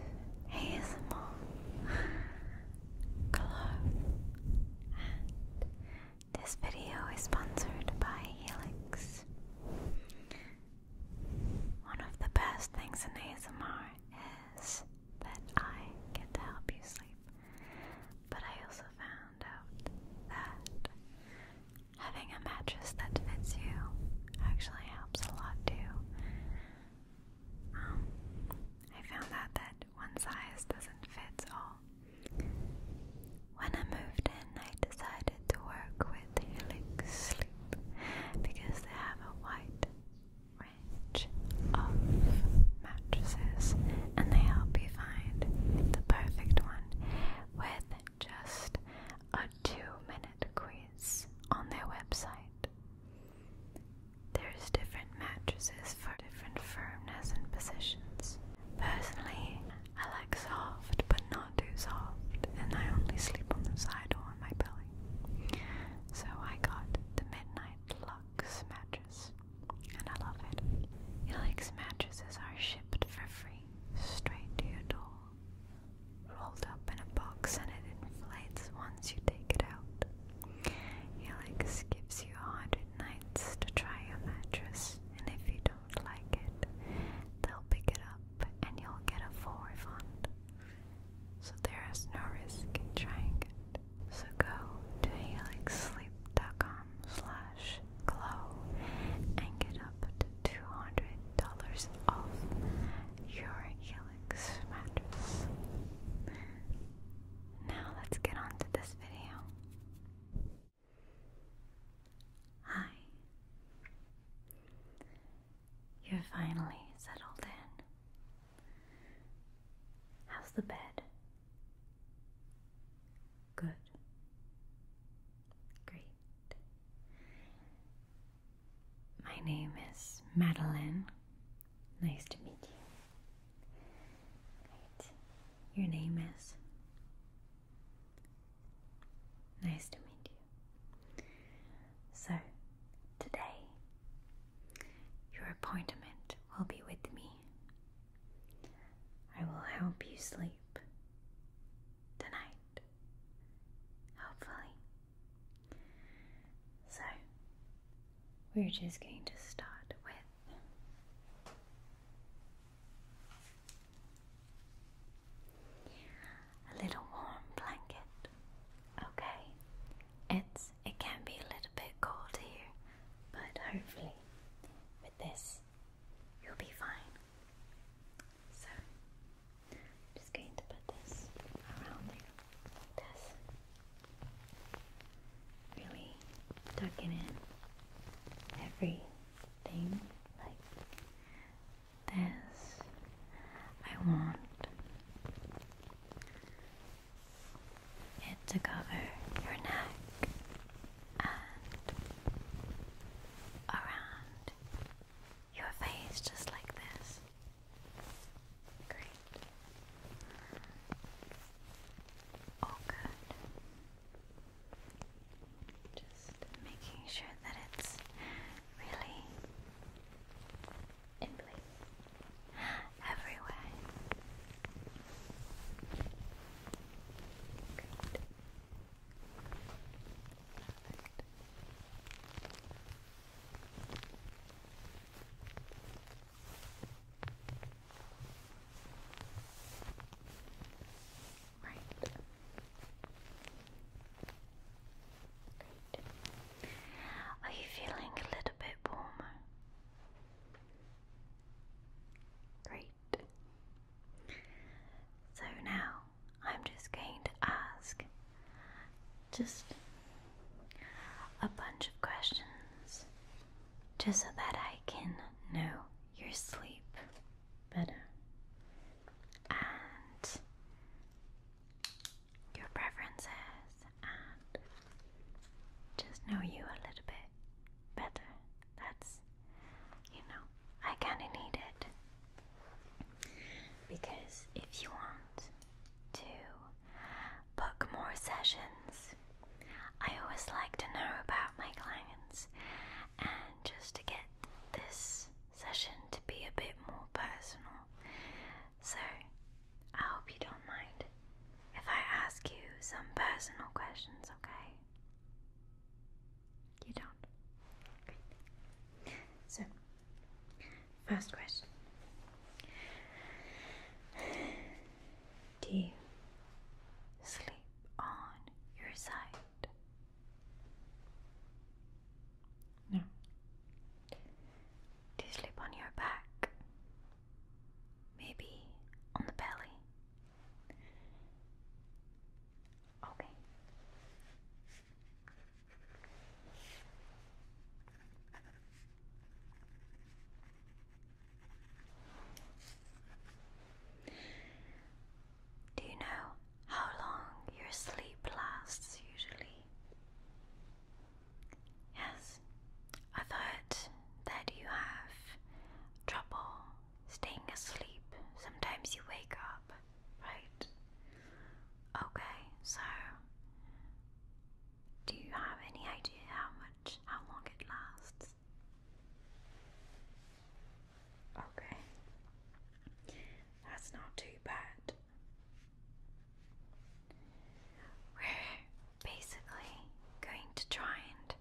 Hi, ASMR Glow this video is sponsored by Helix. One of the best things in ASMR is that I get to help you sleep, but I also found found out that having a mattress that fits you actually helps a lot too. Um, I found out that one size doesn't fit all. When I moved in, I decided to work with Helix Sleep because they have a wide range of mattresses and they help you find the perfect one with just a two minute quiz on their website. There's different mattresses for different firmness and positions. Personally, I like soft but not too soft, and I only sleep on the side or on my belly. So I got the Midnight Lux mattress and I love it. Helix mattresses are shipped for free straight to your door, rolled up in a box, and it inflates once you take it out. Helix gives you 100 nights to try your mattress, and if you don't like it, they'll pick it up and you'll get a full refund. So there is no risk in trying it. So go to helixsleep.com slash glow and get up to $200 off your Helix mattress. Now let's get on to this video. Hi. You're finally settled in. How's the bed? Good. Great. My name is Madeline. Nice to meet you. Great. Your name is? Nice to meet you. So, today, your appointment will be with me I will help you sleep tonight, hopefully. So, we're just going to start with a little warm blanket. Okay, it's it can be a little bit cold here, but hopefully with this You'll be fine. So, I'm just going to put this around you like this. Really tucking in everything like this. I want it to cover your neck and around your face, just like this. Great. Oh, good. Just making sure that it's really in place everywhere. Great. Right. Are you feeling a little bit warmer? Great. So now I'm just going to ask just a bunch of questions just so that I can know your sleep better and your preferences and just know you a little bit better. That's, you know, I kind of need it. Because if you want to book more sessions, I always like to know about my clients and just to get this session to be a bit more personal. So, I hope you don't mind if I ask you some personal questions, okay? You don't? So, first question Do you sleep on your side? No. Do you sleep on your back? Maybe on the belly? Okay. Do you know how long your sleep lasts usually? Yes, I thought that you have trouble staying asleep. Sometimes you wake up, right? Okay, so do you have any idea how much, how long it lasts? Okay, that's not too bad. We're basically going to try and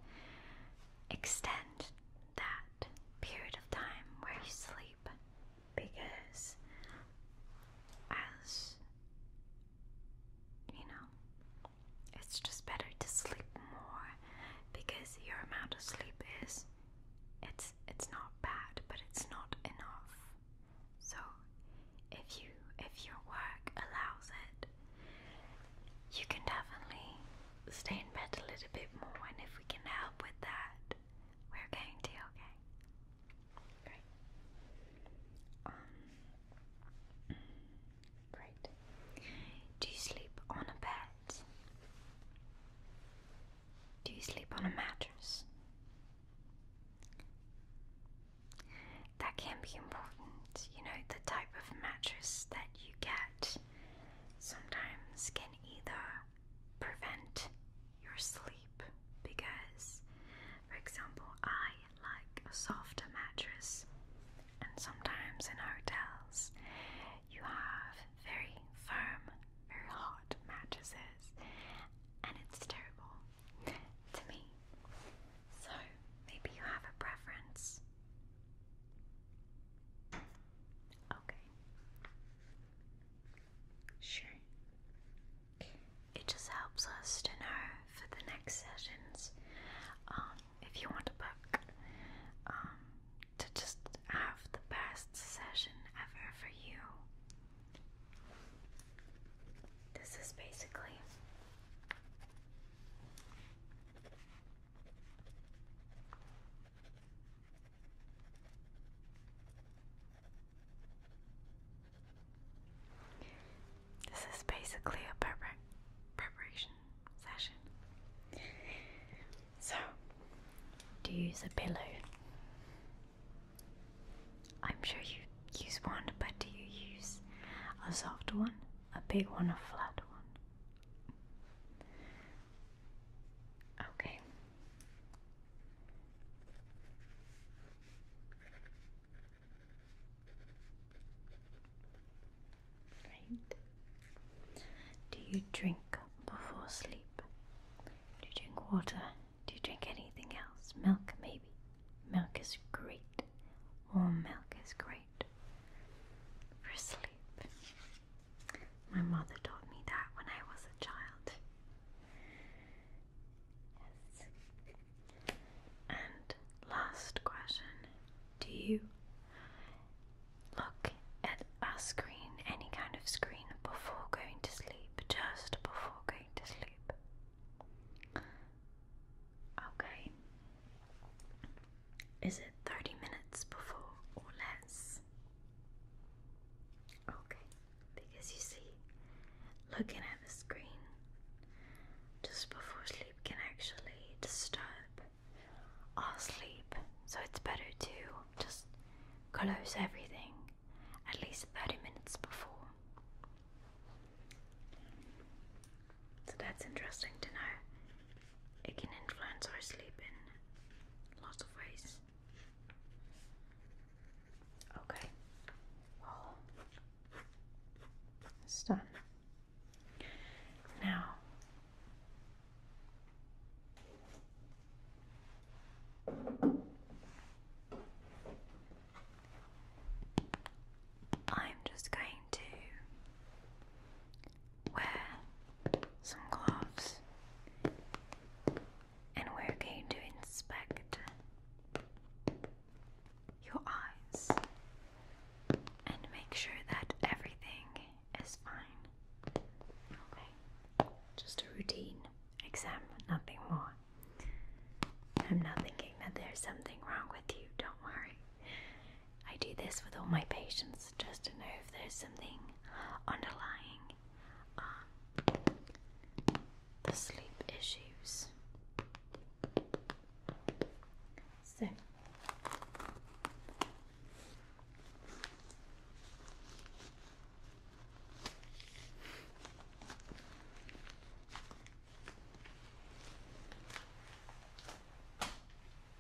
extend that period of time where you sleep because as you know, it's just better to sleep more because your amount of sleep is it's it's not bad, but it's not enough. So if you if your work allows it, you can definitely stay in bed a little bit more, and if we can help with that, we're going to, okay? Um, great. Do you sleep on a bed? Do you sleep on a mattress? That can be important, you know, the type of mattress that you get sometimes can either prevent your sleep because, for example, I like a softer mattress, and sometimes in hotels you have very firm, very hot mattresses, and it's terrible to me. So maybe you have a preference Okay. Sure. It just helps us to know for the next sessions um, if you want a book um, to just have the best session ever for you. This is basically this is basically a prepar preparation session. So, do you use a pillow? I'm sure you use one, but do you use a soft one, a big one, a flat one? Okay. Right. Do you drink before sleep? Do you drink water? Do you drink anything else? Milk, maybe. Milk is great. or milk is great for sleep. My mother taught me that when I was a child. Yes. And last question Do you look at a screen, any kind of screen, before going to sleep? Just before going to sleep? Okay, is it 30 minutes before or less? Okay, because you see, looking at the screen just before sleep can actually disturb our sleep, so it's better to just close everything at least 30 minutes before. So that's interesting to know. It can influence our sleep in lots of ways. Okay, well, it's done. Now, I'm just going to wear some gloves, and we're going to inspect your eyes and make sure that everything is fine. Okay, just a routine exam, nothing more. I'm not thinking that there's something wrong with you, don't worry. I do this with all my patients just to know if there's something underlying um, the sleep issues. So,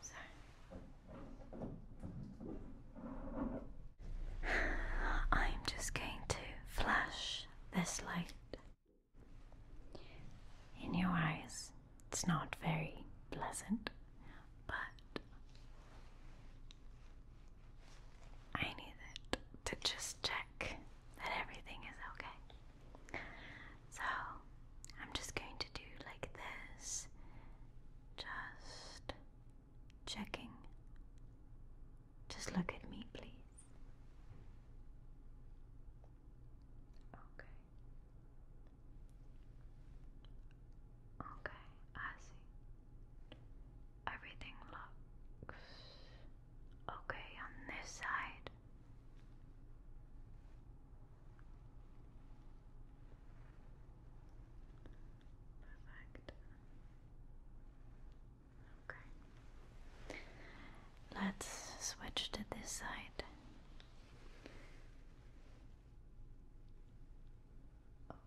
So I'm just going to flash this light in your eyes. It's not very pleasant, but I need it to just check that everything is okay. So I'm just going to do like this, just checking. Just look at me, please. Okay. Okay, I see. Everything looks okay on this side. Perfect. Okay. Let's switch to this side. Okay.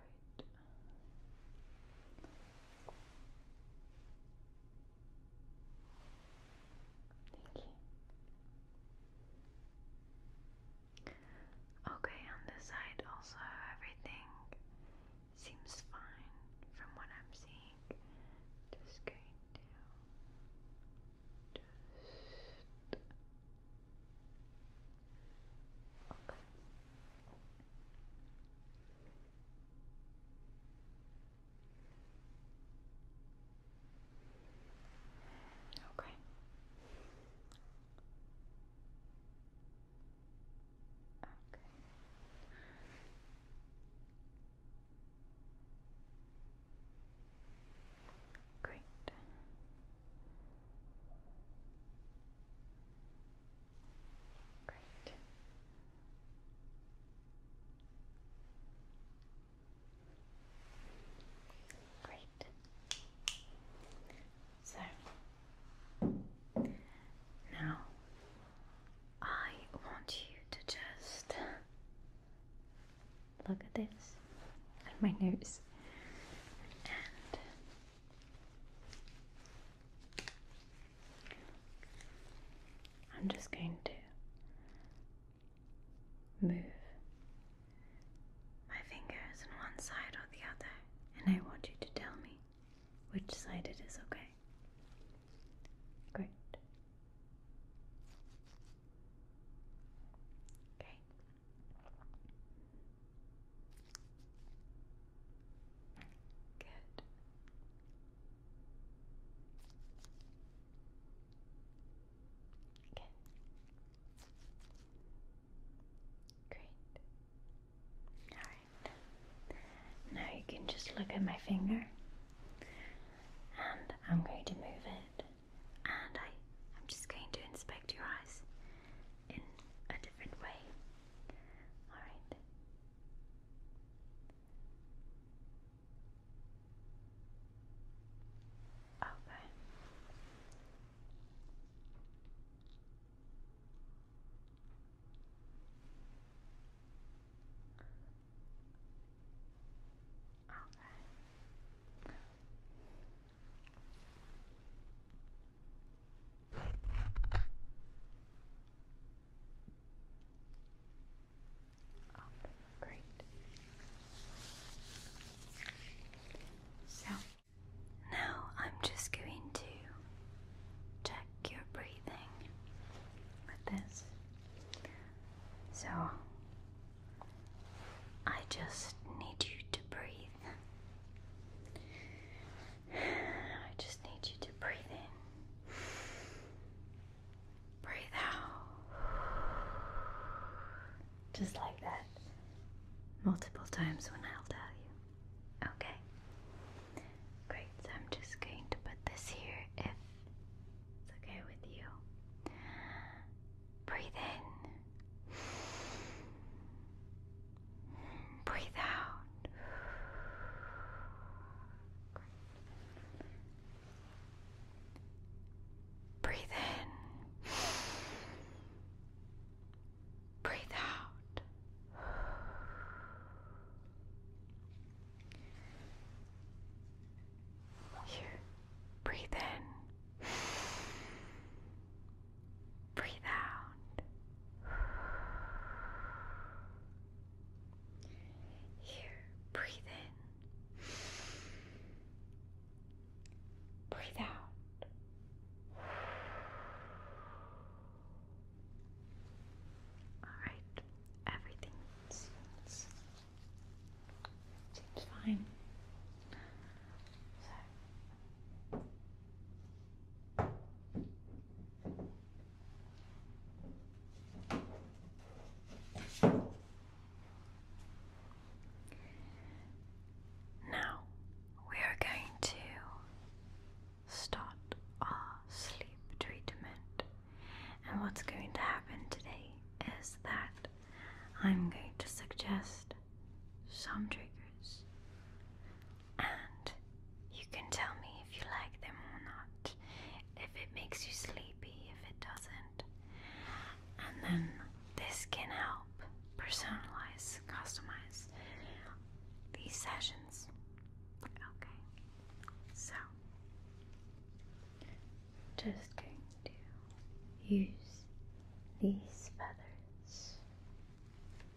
Okay. Thank you. Okay, on this side also everything seems fine from what I'm seeing. Just going to just okay. Okay. Okay. Great. Great. Great. So now I want you to just look at this at my nose and I'm just going to move my fingers on one side or the other, and I want you to tell me which side it is, okay? Great. Okay. Good. Good. Great. Alright. Now you can just look at my finger and I'm going to move it and I, am just going to inspect your eyes in a different way. All right. Okay. Okay. Oh, great. So now I'm just going to check your breathing with this. So I just need you to breathe. I just need you to breathe in, breathe out, just like that, multiple times when I'll tell you. Okay? Great, I'm just going to put this here if it's okay with you. Breathe in. Breathe out. Breathe in. Breathe out. Here. Breathe in. Breathe out. Here, breathe in. Breathe out. All right, everything seems, seems fine. So. Now we are going to start our sleep treatment, and what's going to happen today is that I'm going to suggest some triggers and you can tell me if you like them or not, if it makes you sleepy, if it doesn't. And then this can help personalize, customize these sessions. Okay, so just going to use these feathers and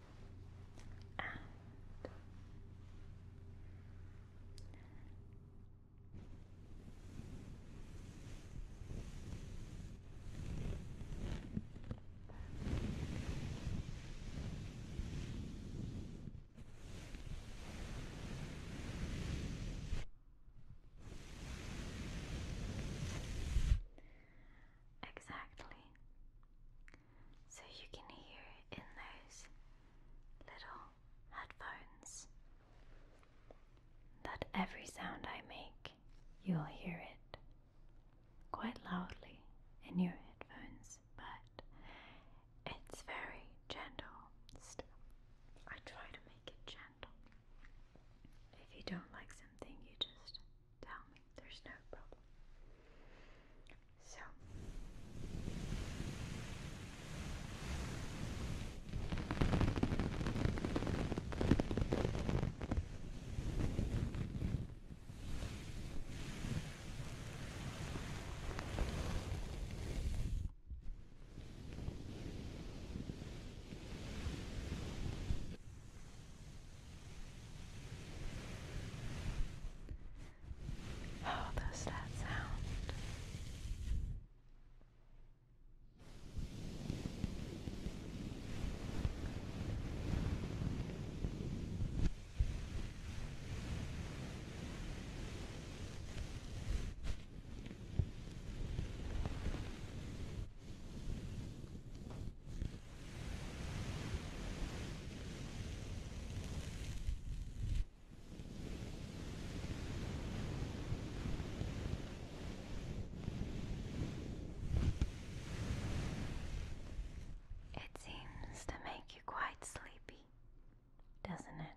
Exactly so you can hear it in those little headphones. That every sound I make, you'll hear it quite loudly in your headphones, but it's very gentle I try to make it gentle. If you don't like something, you just tell me, there's no problem. So, how does that sound? It seems to make you quite sleepy, doesn't it?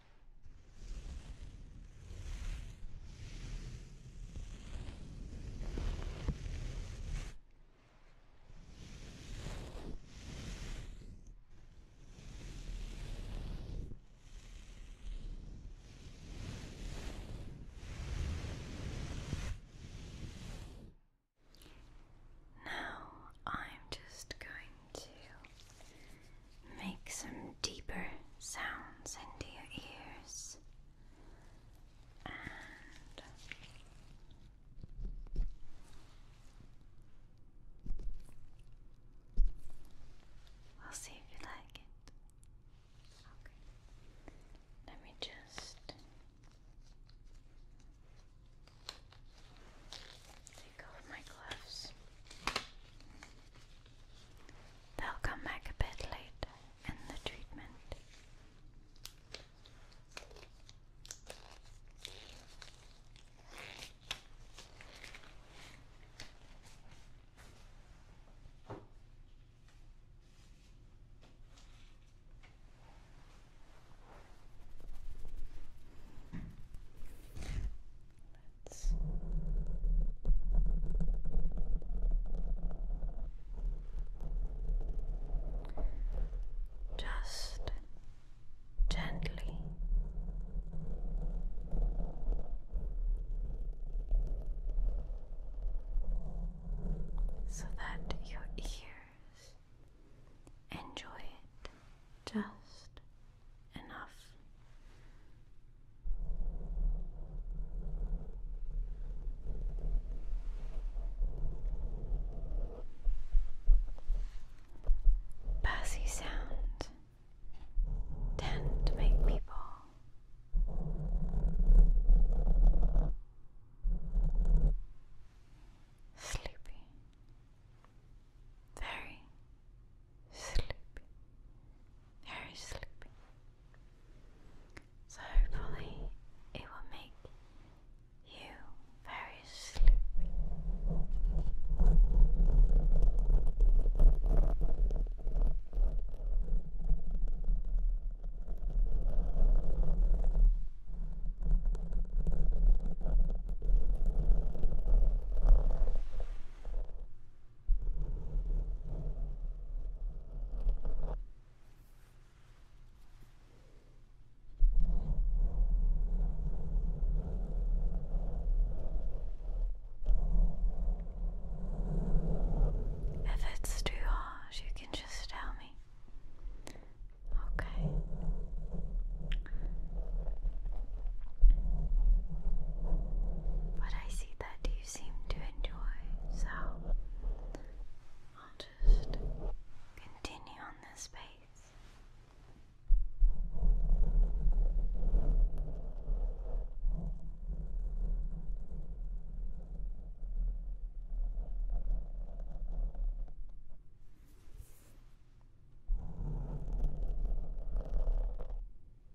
Now I'm just going to Make some deeper sounds into your ears and we'll see if you like it. Let me just take off my gloves. They'll come back a bit late in the treatment just gently so that your ears enjoy it just enough. Bassy sound tend to make people sleepy, very sleepy, very sleepy. So hopefully it will make you very sleepy. If it's too harsh, you can just tell me. Okay. But I see that you seem to enjoy, so I'll just continue on this pace.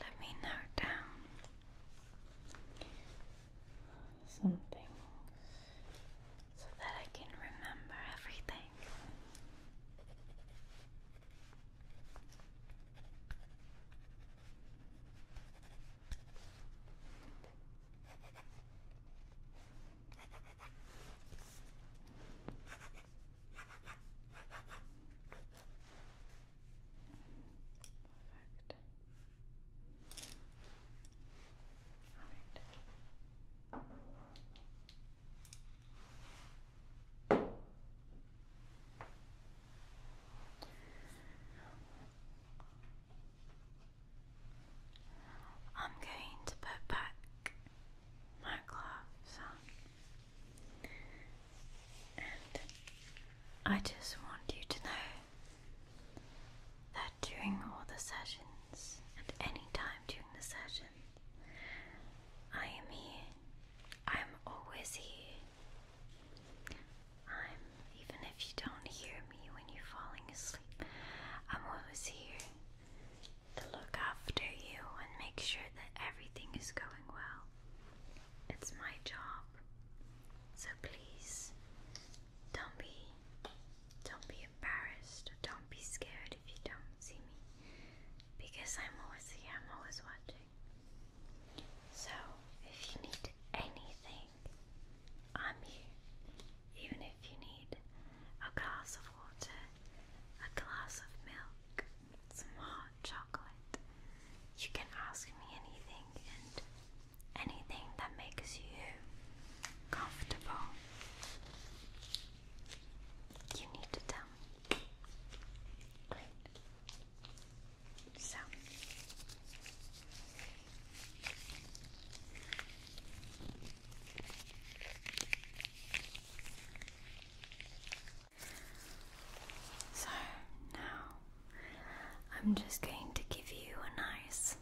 Let me note down some things so that I can remember everything. Perfect right. I'm going to put back my gloves and I just want you to know that during all the sessions, and any time during the session. I am here. I'm always here. I'm, even if you don't hear me when you're falling asleep, I'm always here to look after you and make sure that everything is going well. It's my job. So please, don't be, don't be embarrassed. Don't be scared if you don't see me. Because I'm always here, I'm always watching. So, if you need anything, I'm here. Even if you need a glass of water, a glass of milk, some hot chocolate, you can ask me anything, and anything that makes you comfortable. You need to tell me. So. So now I'm just going to give you a nice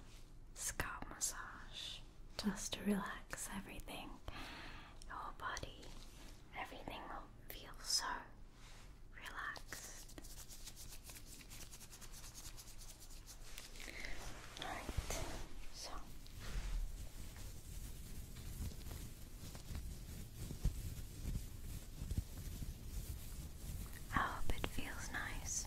scalp massage just to relax everything, your body, everything will feel so relaxed. Alright, so. I hope it feels nice.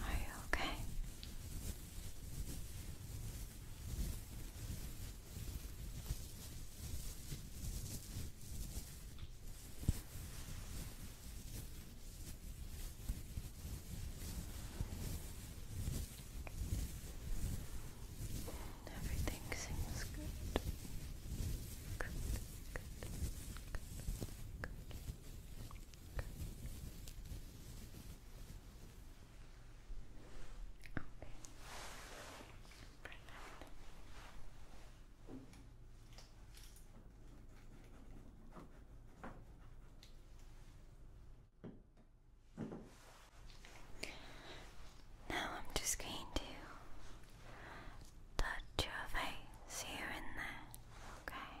Are you okay? Everything seems good. Good, good, good, good. Okay. Now I'm just going to touch your face here and there, okay?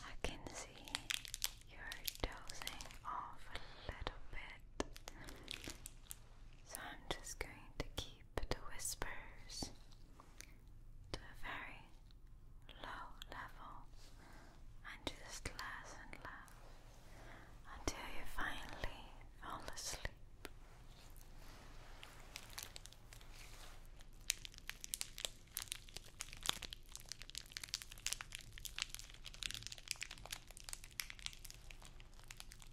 I can see you're dozing off a little bit, so I'm just going to keep the whispers to a very low level and just less and less until you finally fall asleep.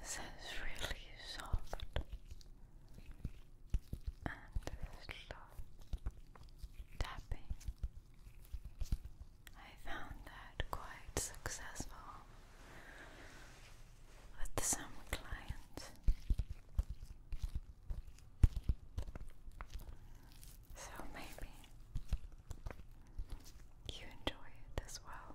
This is really soft and slow tapping. I found that quite successful with some clients. So maybe you enjoy it as well.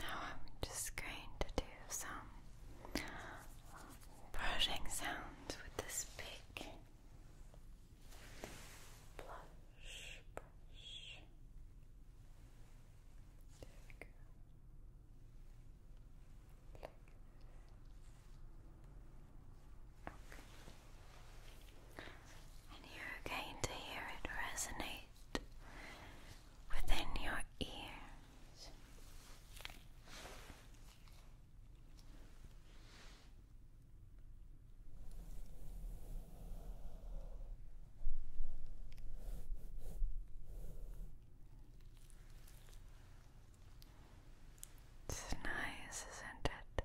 Now I'm just going to do some brushing sounds with this big blush brush. There we go. And you're going to hear it resonate within your ears. It's nice, isn't it?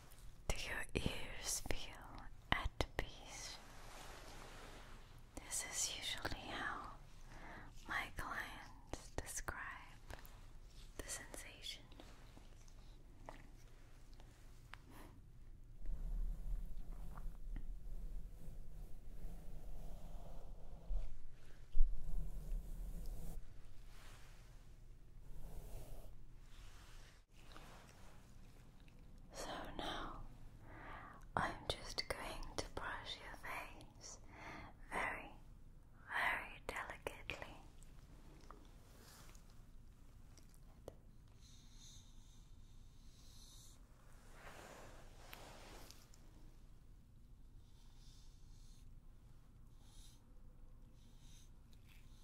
Do your ears feel at peace? This is usually how my clients describe the sensation. So now I'm just going to brush your face very, very delicately.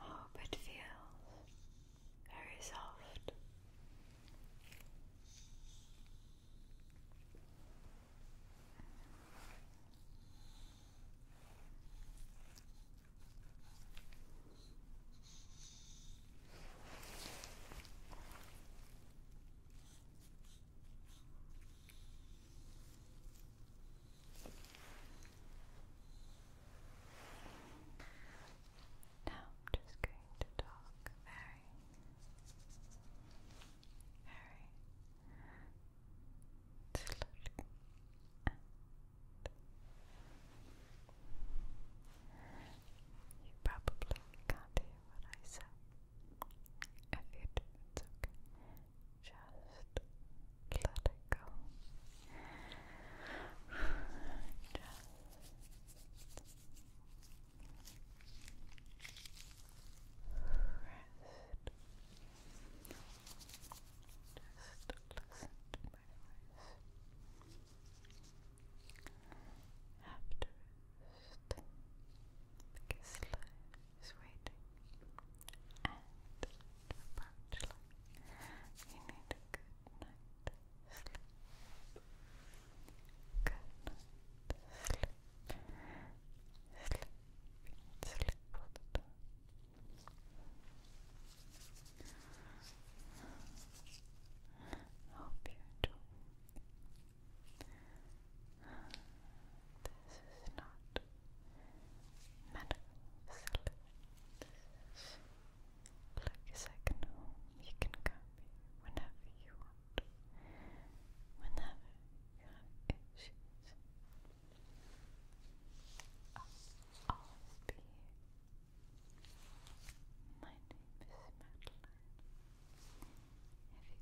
I hope it feels very soft. Now I'm just going to talk very, very slowly you probably can't hear what I said if you do, Just let it go. Just rest. Just listen to my voice. Have to rest life is waiting and approach you need a good night sleep good night sleep sleep, sleep hope you enjoy this is not medical This is like a second home. You can come whenever you want. Whenever you have issues. always here. My name is Madeline. If you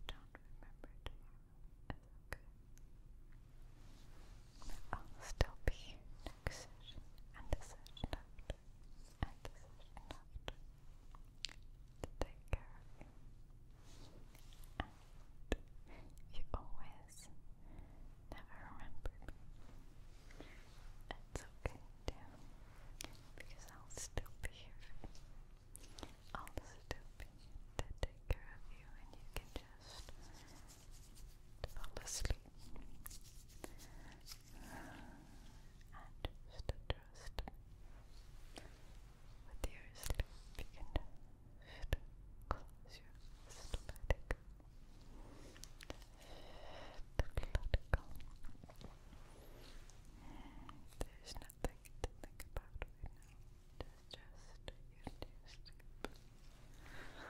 don't remember tomorrow, okay. I'll still be here and the session after, and the session after. To take And you always never remember me. It's okay too, because I'll still be here you. I'll stop in to care of you and you can just fall asleep. And just trust with your sleep. You can just your eyes to let it nothing to think about right now. Just, just you Just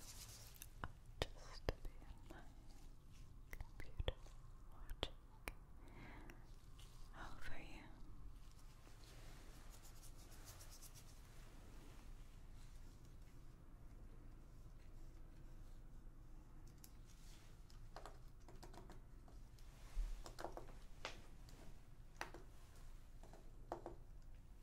just to be in my computer watching over you.